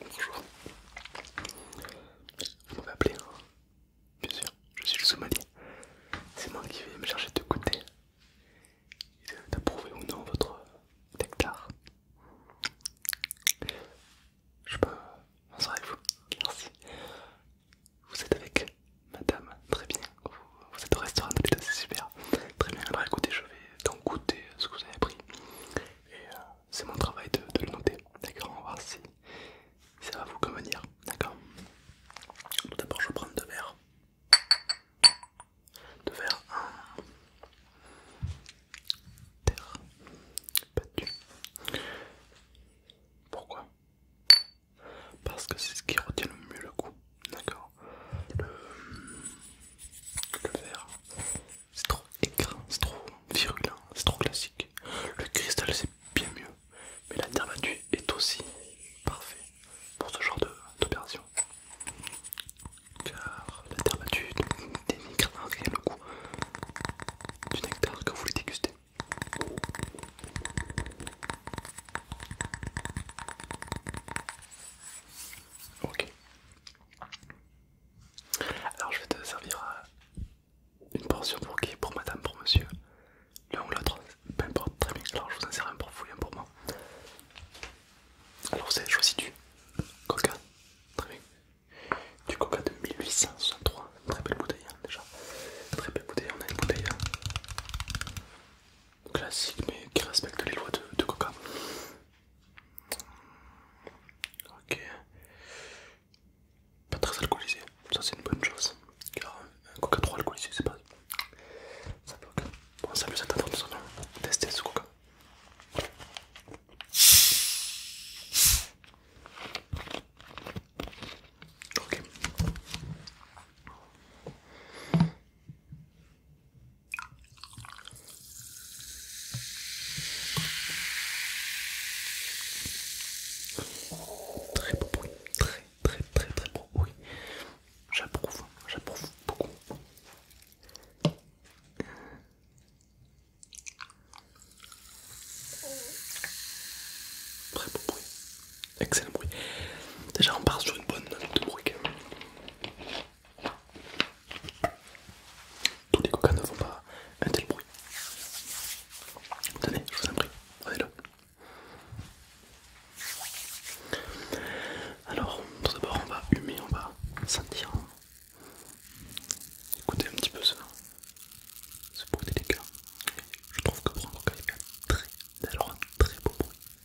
Bonjour. Vous m'avez appelé hein. Bien sûr, je suis le somalien. C'est moi qui vais me chercher de goûter et d'approuver ou non votre hectare. Je peux avec vous. Merci. Vous êtes avec Madame, très bien, vous, êtes au restaurant c'est super. Très bien, alors écoutez, je vais donc goûter ce que vous avez pris. Et euh, c'est mon travail de, le noter, d'accord On va voir si, ça va vous convenir, d'accord Tout d'abord, je vais prendre deux verres. Deux verres, un terre pas battue. Pourquoi parce que c'est ce qui retient le mieux le goût d'accord le... verre c'est trop écrin, c'est trop virulent, c'est trop classique. Le cristal, c'est bien mieux, mais la terre battue est aussi parfait pour ce genre d'opération. Car la terre battue dénigre en rien le goût du nectar que vous voulez déguster. Ok. Alors je vais te servir une portion pour qui Pour madame, pour monsieur L'un ou l'autre, peu importe, très bien. Alors je vous en sers un pour vous et un pour moi. Alors c'est. choisi du coca, très bien. Du coca de 1863, très belle bouteille hein, déjà. Très belle bouteille, on a une bouteille hein classique mais qui respecte les lois de, Coca. Ok. Pas très alcoolisé, ça c'est une bonne chose. Car euh, un Coca trop alcoolisé, c'est pas. Ça va. Bon, ça nous tester ce Coca. Ok. Très beau bruit, très très très très beau bruit. J'approuve, j'approuve beaucoup. Très beau bruit. Excellent bruit. Déjà, on part sur une bonne note de bruit. Tous les coca ne font pas un tel bruit. Tenez, je vous en prie, prenez-le. Alors, tout d'abord, on va humer, on va sentir. Écoutez un petit peu ça. Ce bruit délicat, je trouve que pour un coca il fait un très, très beau bruit.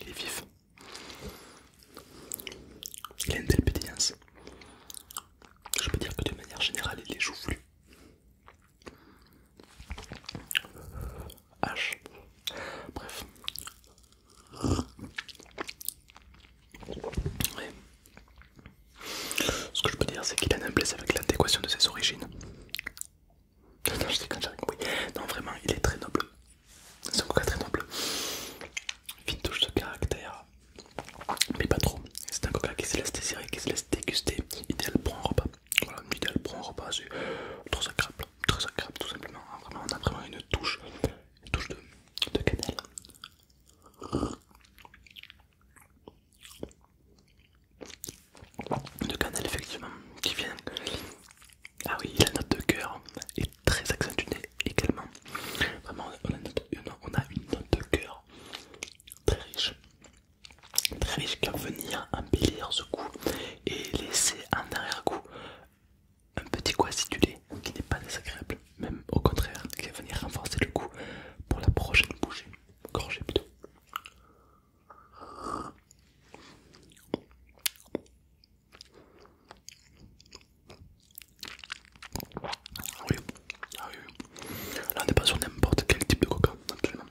Il est vif. Il a une belle pédillance. Je peux dire que de manière générale, il est joufflu. H. Bref. Ce que je peux dire, c'est qu'il a un blessé avec l'adéquation de ses origines. Non, vraiment, il est très noble. C'est un coca très noble. Fine touche de caractère, mais pas trop. C'est un coca qui se laisse désirer, qui se laisse déguster, idéal pour un repas. Voilà, idéal pour un repas, c'est très agréable, très agréable tout simplement. Ah, on a vraiment une touche, touche de cannelle de canal effectivement qui vient ah oui la note de cœur est très accentuée également vraiment on a, une note de cœur très riche très riche qui va venir embellir ce coup et laisser en arrière-goût un petit goût acidulé qui n'est pas désagréable même au contraire, il va venir renforcer le coup pour la prochaine bouchée. Gorgée plutôt. Ah oui, ah oui, là on n'est pas sur n'importe quel type de coca, absolument.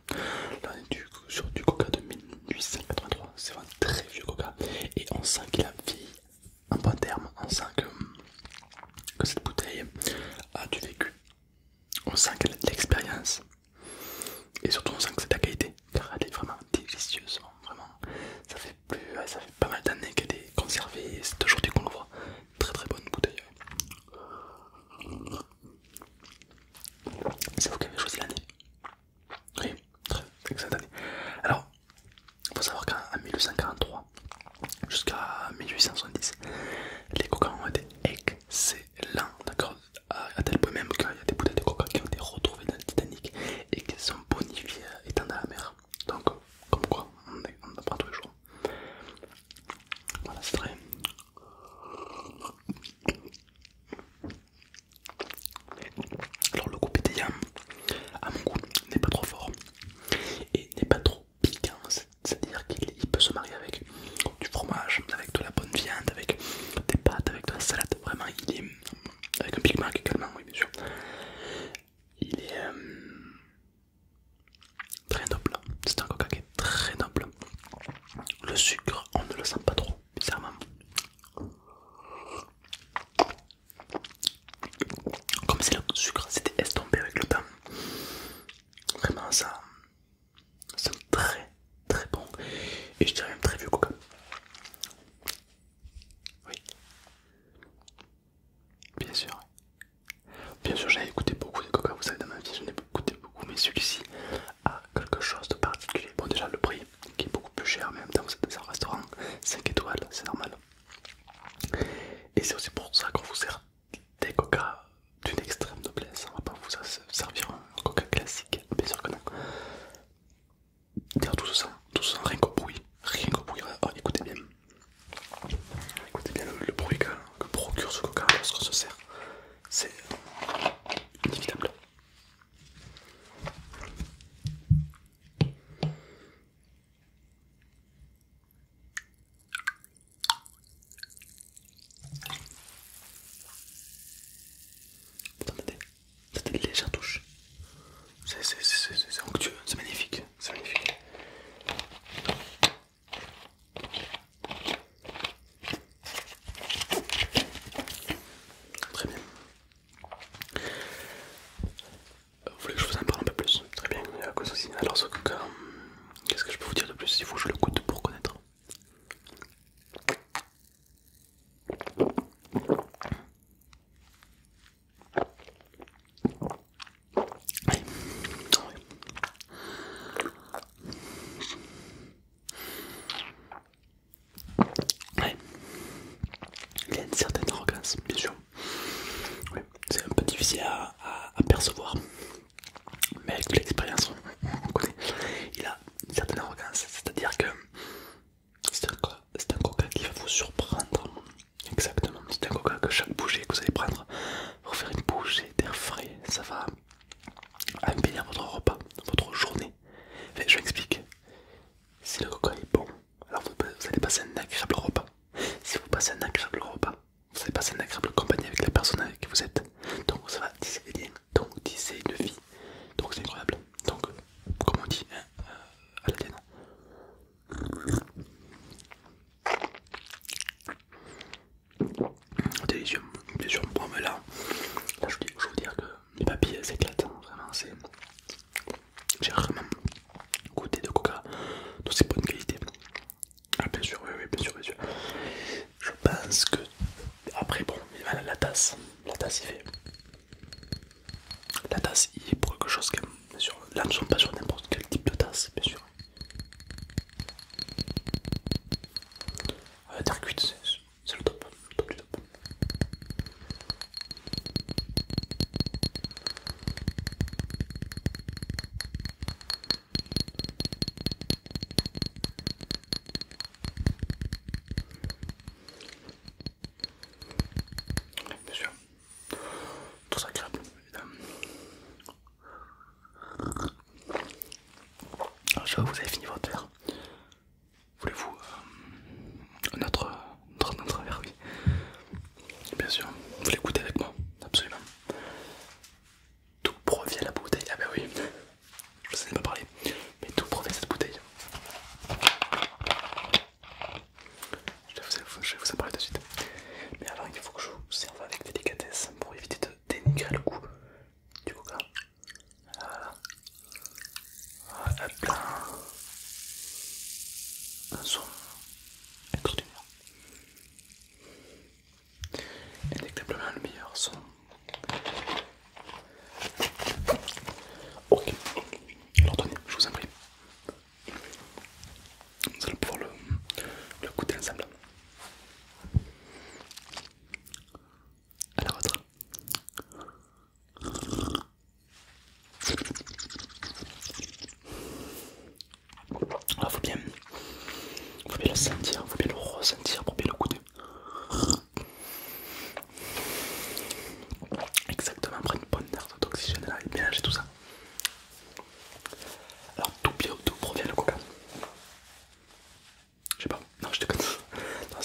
Là on est sur du coca de 1883, c'est un très vieux coca et on sent qu'il a vieilli en bon terme, on sent que que cette bouteille a du vécu. On sent qu'elle a de l'expérience et surtout on sent que c'est de la qualité car elle est vraiment délicieuse. Hein. Vraiment, ça fait, plus, ça fait pas mal d'années qu'elle est conservée c'est aujourd'hui qu'on le voit. Très très bonne bouteille. C'est vous qui avez choisi l'année. Oui, très excellente année. Alors, il faut savoir qu'en 1843, jusqu'à 1870. Les coca ont été excellents, d'accord à tel point même qu'il y a des bouteilles de coca qui ont été retrouvées dans le Titanic et qui sont bonifiées étant dans la mer. Donc, comme quoi, on, est, on apprend tous les jours. Voilà, c'est vrai. Alors, le goût pétillant, à mon goût, n'est pas trop fort et n'est pas trop piquant, c'est-à-dire qu'il peut se marier avec du fromage, avec de la bonne viande, avec des pâtes, avec de la salade. Vraiment, il est avec un Big également, oui, bien sûr. Il est euh, très noble, c'est un coca qui est très noble. Le sucre, on ne le sent pas trop, bizarrement comme c'est le sucre, c'était estompé avec le temps Vraiment, ça, c'est très très bon et je dirais même très vieux coca. Oui, bien sûr. Bien sûr, j'ai écouté beaucoup de coca, vous savez, dans ma vie, j'en ai écouté beaucoup, mais celui-ci a quelque chose de particulier. Bon, déjà, le prix qui est beaucoup plus cher, mais en même temps, dans un restaurant 5 étoiles, c'est normal. Et c'est aussi pour ça qu'on vous sert des coca d'une extrême noblesse. Hein. On va pas vous servir un coca classique, bien sûr que non. tout se sent, tout rien qu'au bruit. Rien qu'au bruit. Oh, écoutez bien. Écoutez bien le, bruit que, que procure ce coca lorsqu'on se sert. C'est inévitable. Attendez, c'était c'est c'est touche. C'est onctueux, c'est magnifique, c'est magnifique. Très bien. Euh, vous voulez que je vous en parle un peu plus Très bien, Alors, ce euh, qu'est-ce que je peux vous dire de plus Il faut que je le goûte pour connaître. Allez. Il y a une certaine arrogance, bien sûr c'est un peu difficile à, percevoir, mais avec l'expérience, Il a une certaine arrogance, c'est-à-dire que c'est un, coca qui va vous surprendre. Exactement, c'est un coca que chaque bougie que vous allez prendre, vous faire une bougie d'air frais, ça va embellir votre repas, votre journée. je m'explique. Si le coca est bon, alors vous, allez passer un agréable repas. Si vous passez un agréable repas, vous allez passer un agréable compagnie avec la personne avec qui vous êtes. Donc ça va tisser des liens, donc tisser une vie. Donc c'est incroyable. Donc comment on dit hein, euh, à la tienne. Délicieux, Bon mais là, là je, je veux dire que les papilles s'éclatent. Hein, vraiment c'est... J'ai vraiment goûté de coca de ces bonnes qualités. Ah, bien sûr, oui, oui, bien sûr, bien sûr. Je pense que. Après, bon, la, la tasse, la tasse, il fait. La tasse, il est pour quelque chose, que Bien sûr, là, nous ne sommes pas sur n'importe quel type de tasse, bien sûr. Ah, la terre cuite, c'est le top, le top du top. Bien sûr, je vois que vous avez fini votre verre. Voulez-vous euh, notre dans notre travers, oui. Bien sûr, vous l'écoutez avec moi, absolument. Tout provient la bouteille, ah ben oui, je vous en ai pas parlé, mais tout provient cette bouteille. Je vais, vous, en parler tout de suite. Mais avant, il faut que je vous serve avec délicatesse pour éviter de dénigrer le goût du coca. Voilà. hop Un son extraordinaire. indéniablement le meilleur son. Ok, alors je vous en prie. Vous allez pouvoir le, goûter ensemble. À la vôtre. Ah, faut bien, faut bien le sentir, faut bien le ressentir pour bien le goûter. Exactement, prendre une bonne dose d'oxygène là et mélanger tout ça. Alors, tout d'où provient le coca Je sais pas, non, je te connais. Non,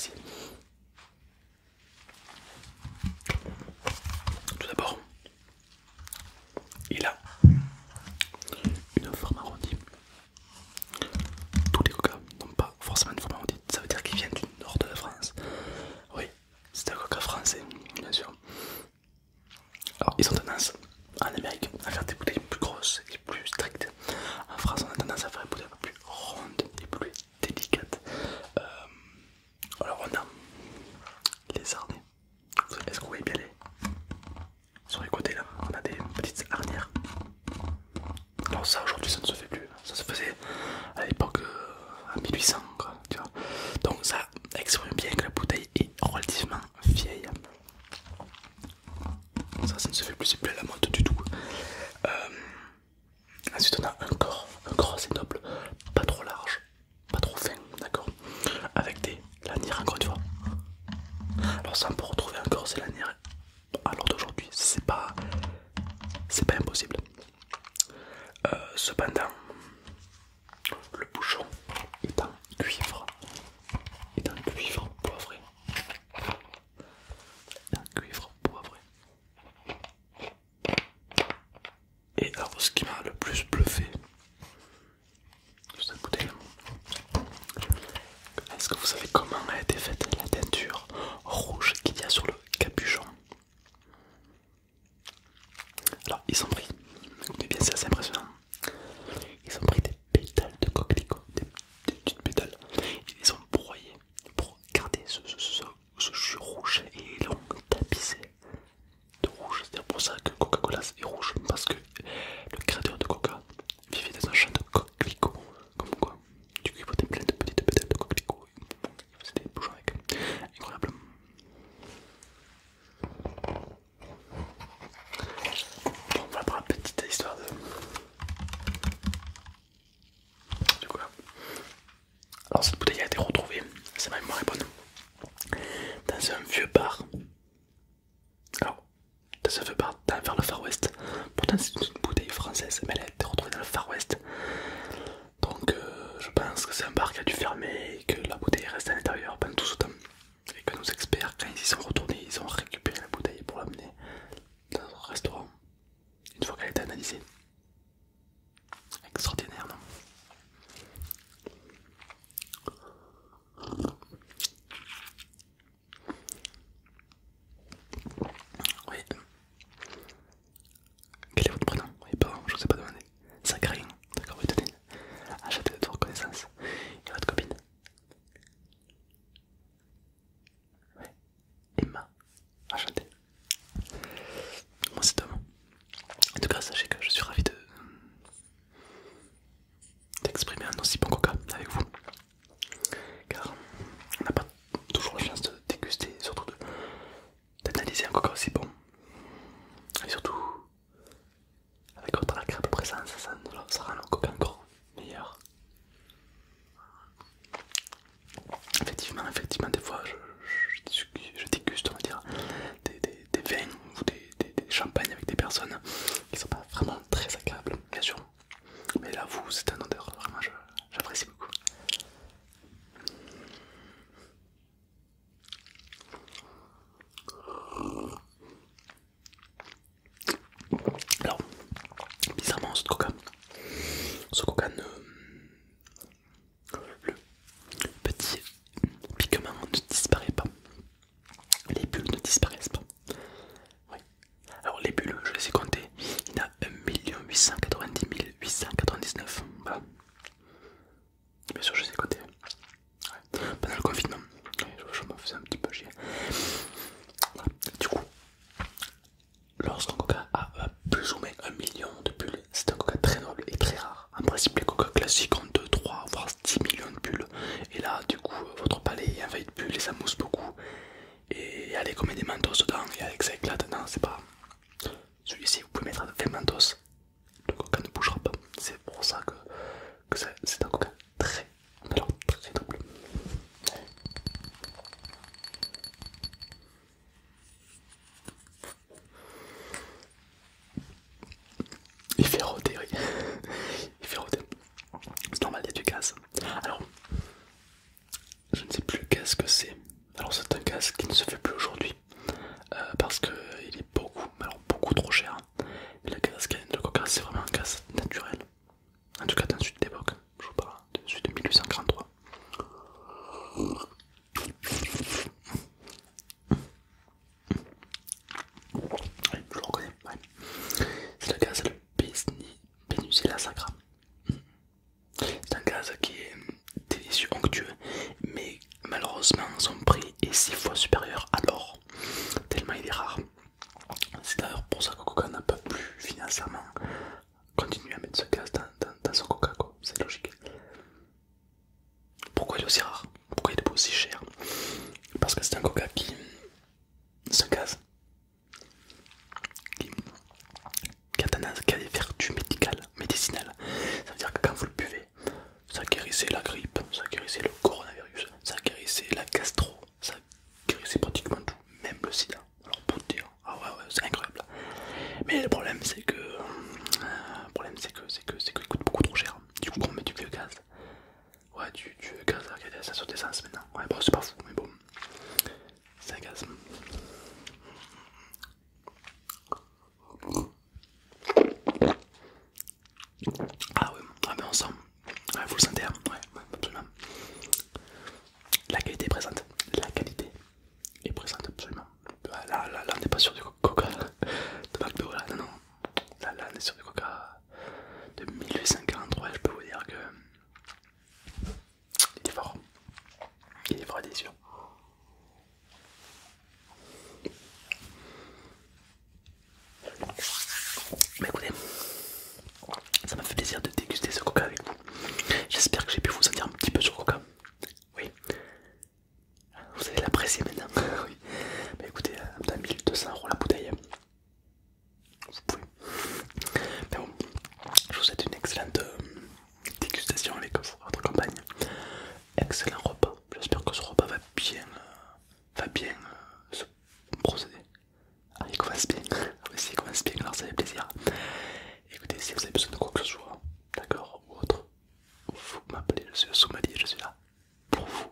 Tout d'abord, il a une forme arrondie. Tous les coca n'ont pas forcément une forme arrondie. Ça veut dire qu'ils viennent du nord de la France. Oui, c'est un coca français, bien sûr. Alors, ils ont tendance en Amérique à faire des bouteilles plus grosses et plus strictes. En France, on a tendance à faire des bouteilles plus rondes et plus délicates. Euh, alors on a les harnais. Est-ce que vous voyez bien les... Sur les côtés là, on a des petites arrières. Alors ça aujourd'hui ça ne se fait plus. Ça se faisait à l'époque euh, à 1800 quoi, Donc ça exprime bien que la bouteille est relativement vieille. Ça ça ne se fait plus, c'est plus à la mode du tout. Euh, ensuite on a un corps, un corps assez noble, pas trop large, pas trop fin, d'accord Avec des lanières encore une fois. Alors ça on peut retrouver encore ces lanières alors d'aujourd'hui, c'est pas c'est pas impossible. Euh, cependant, le bouchon est en cuivre, est en cuivre poivré, un cuivre poivré. Et alors ce qui m'a le plus bluffé, vous écoutez, est-ce que vous savez comment a été faite la teinture rouge qu'il y a sur le capuchon Alors ils ont pris, écoutez bien c'est assez impressionnant, ils ont pris des pétales de coquelicot, des, petites pétales, ils les ont broyées pour garder ce, jus rouge et long l'ont tapissé de rouge. C'est pour ça que Coca-Cola est rouge, parce que le créateur de Coca vivait dans un champ de coquelicots, comme quoi. Du coup, il votait plein de petites pétales de coquelicots. C'était bougeant avec. Incroyable. Bon, voilà pour la petite histoire de. Du coup, alors cette bouteille a été retrouvée, c'est ma mémoire est bonne, dans un vieux bar. Alors, dans un vieux bar dans, vers le Far West. Pourtant c'est une bouteille française, mais elle a été retrouvée dans le Far West. Donc euh, je pense que c'est un bar qui a dû fermer et que la bouteille reste à l'intérieur pendant tout ce temps. Et que nos experts, quand ils y sont retournés, ils ont récupéré la bouteille pour l'amener dans un restaurant. Une fois qu'elle a été analysée. Extraordinaire, non Oui. Quel est votre prénom Oui, pardon, je ne vous ai pas demandé. Ça Karine. D'accord, oui, tenez. Ah, Un château reconnaissance. Et votre copine Oui. Emma. Enchanté. Moi c'est dommage, En tout cas, sachez que je suis ravi de d'exprimer un aussi bon coca avec vous. Car on n'a pas toujours la chance de déguster, surtout d'analyser un coca aussi bon. Et surtout, avec votre agréable présence, ça, ça rend le coca encore meilleur. Effectivement, effectivement, des fois je, déguste, on va dire, des, vins ou des, champagnes avec des personnes qui sont pas vraiment très agréables, bien sûr. Mais là, vous, c'est un odeur, vraiment, j'apprécie beaucoup. Alors, bizarrement, ce coca, ce coca ne, le petit pigment ne disparaît pas. Les bulles ne disparaissent pas. Oui. Alors les bulles, je les ai comptées. Il y en a 1 890 899. Bien sûr, je les ai comptées. Pendant le confinement, je me faisais un petit peu chier. Du coup, Lorsqu'un coca a plus ou moins un million de bulles, c'est un coca très noble et très rare. En principe, les coca classiques ont 2, 3, voire 10 millions de bulles. Et là, du coup, euh, votre palais est envahi de bulles et ça mousse beaucoup. Et allez, comme des mentos dedans, et avec ça éclate, non, c'est pas. Celui-ci, vous pouvez mettre 20 mentos, le coca ne bougera pas. C'est pour ça que, que c'est un coca très, alors très noble. Il fait rôder, oui. Il fait rôder. C'est normal, il y a du gaz. Alors, je ne sais plus qu'est-ce que c'est. Alors, c'est un gaz qui ne se fait plus aujourd'hui euh, parce parce qu'il est beaucoup, alors beaucoup trop cher. Mais le casque de Coca, c'est vraiment un gaz naturel. En tout cas, dans le sud d'époque, je vous parle, de 1843 le reconnais, C'est le gaz, sacra. C'est un gaz qui est délicieux, onctueux, mais malheureusement son prix est 6 fois supérieur à l'or, tellement il est rare. C'est d'ailleurs pour ça que Coca n'a pas pu financièrement continue à mettre ce gaz dans, son coca, c'est logique. Pourquoi il est aussi rare Pourquoi il est aussi cher Parce que c'est un coca qui. se gaz qui des vertus médicales, médicinales. Ça veut dire que quand vous le buvez, ça guérissait la grippe, ça guérissait le coronavirus, ça guérissait la gastro, ça guérissait pratiquement tout, même le sida alors pour te dire, ah ouais, ouais c'est incroyable. Mais le problème c'est que, euh, le problème c'est que, c'est que, c'est que coûte beaucoup trop cher. Du coup, on met du vieux gaz. Ouais, tu veux gaz ça sur tes maintenant. Ouais, bon, c'est pas fou, mais bon, c'est un gaz. Ah ouais, ah, on sent, il vous le sentez, hein ouais, ouais, absolument. La qualité est présente, la qualité il présente absolument. Là, là, on n'est pas sur du coca de McDo, là, non, non. Là, là, on est sur du coca de 1843, je peux vous dire que. Il est fort. Il est fort et délicieux. Mais écoutez, ça m'a fait plaisir de déguster ce coca avec vous. J'espère que j'ai pu vous en dire un petit peu sur coca. Oui. Vous allez l'apprécier maintenant. oui. Mais écoutez, à 1200 euros la bouteille. Vous pouvez. Mais bon, je vous souhaite une excellente euh, dégustation avec votre compagne. Excellent repas. J'espère que ce repas va bien, euh, va bien euh, se procéder. Ah, il commence bien. il commence bien, alors ça fait plaisir. Écoutez, si vous avez besoin de quoi que ce soit, d'accord, ou autre, vous m'appelez, je suis le je suis là pour vous,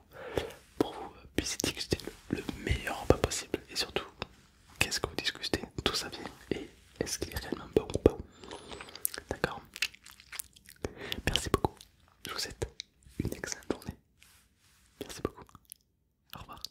pour vous euh, discuter le, meilleur repas possible. Et surtout, qu'est-ce que vous discutez, d'où ça vient et est-ce qu'il est réellement bon ou pas. D'accord Merci beaucoup. Je vous souhaite une excellente journée. Merci beaucoup. Au revoir.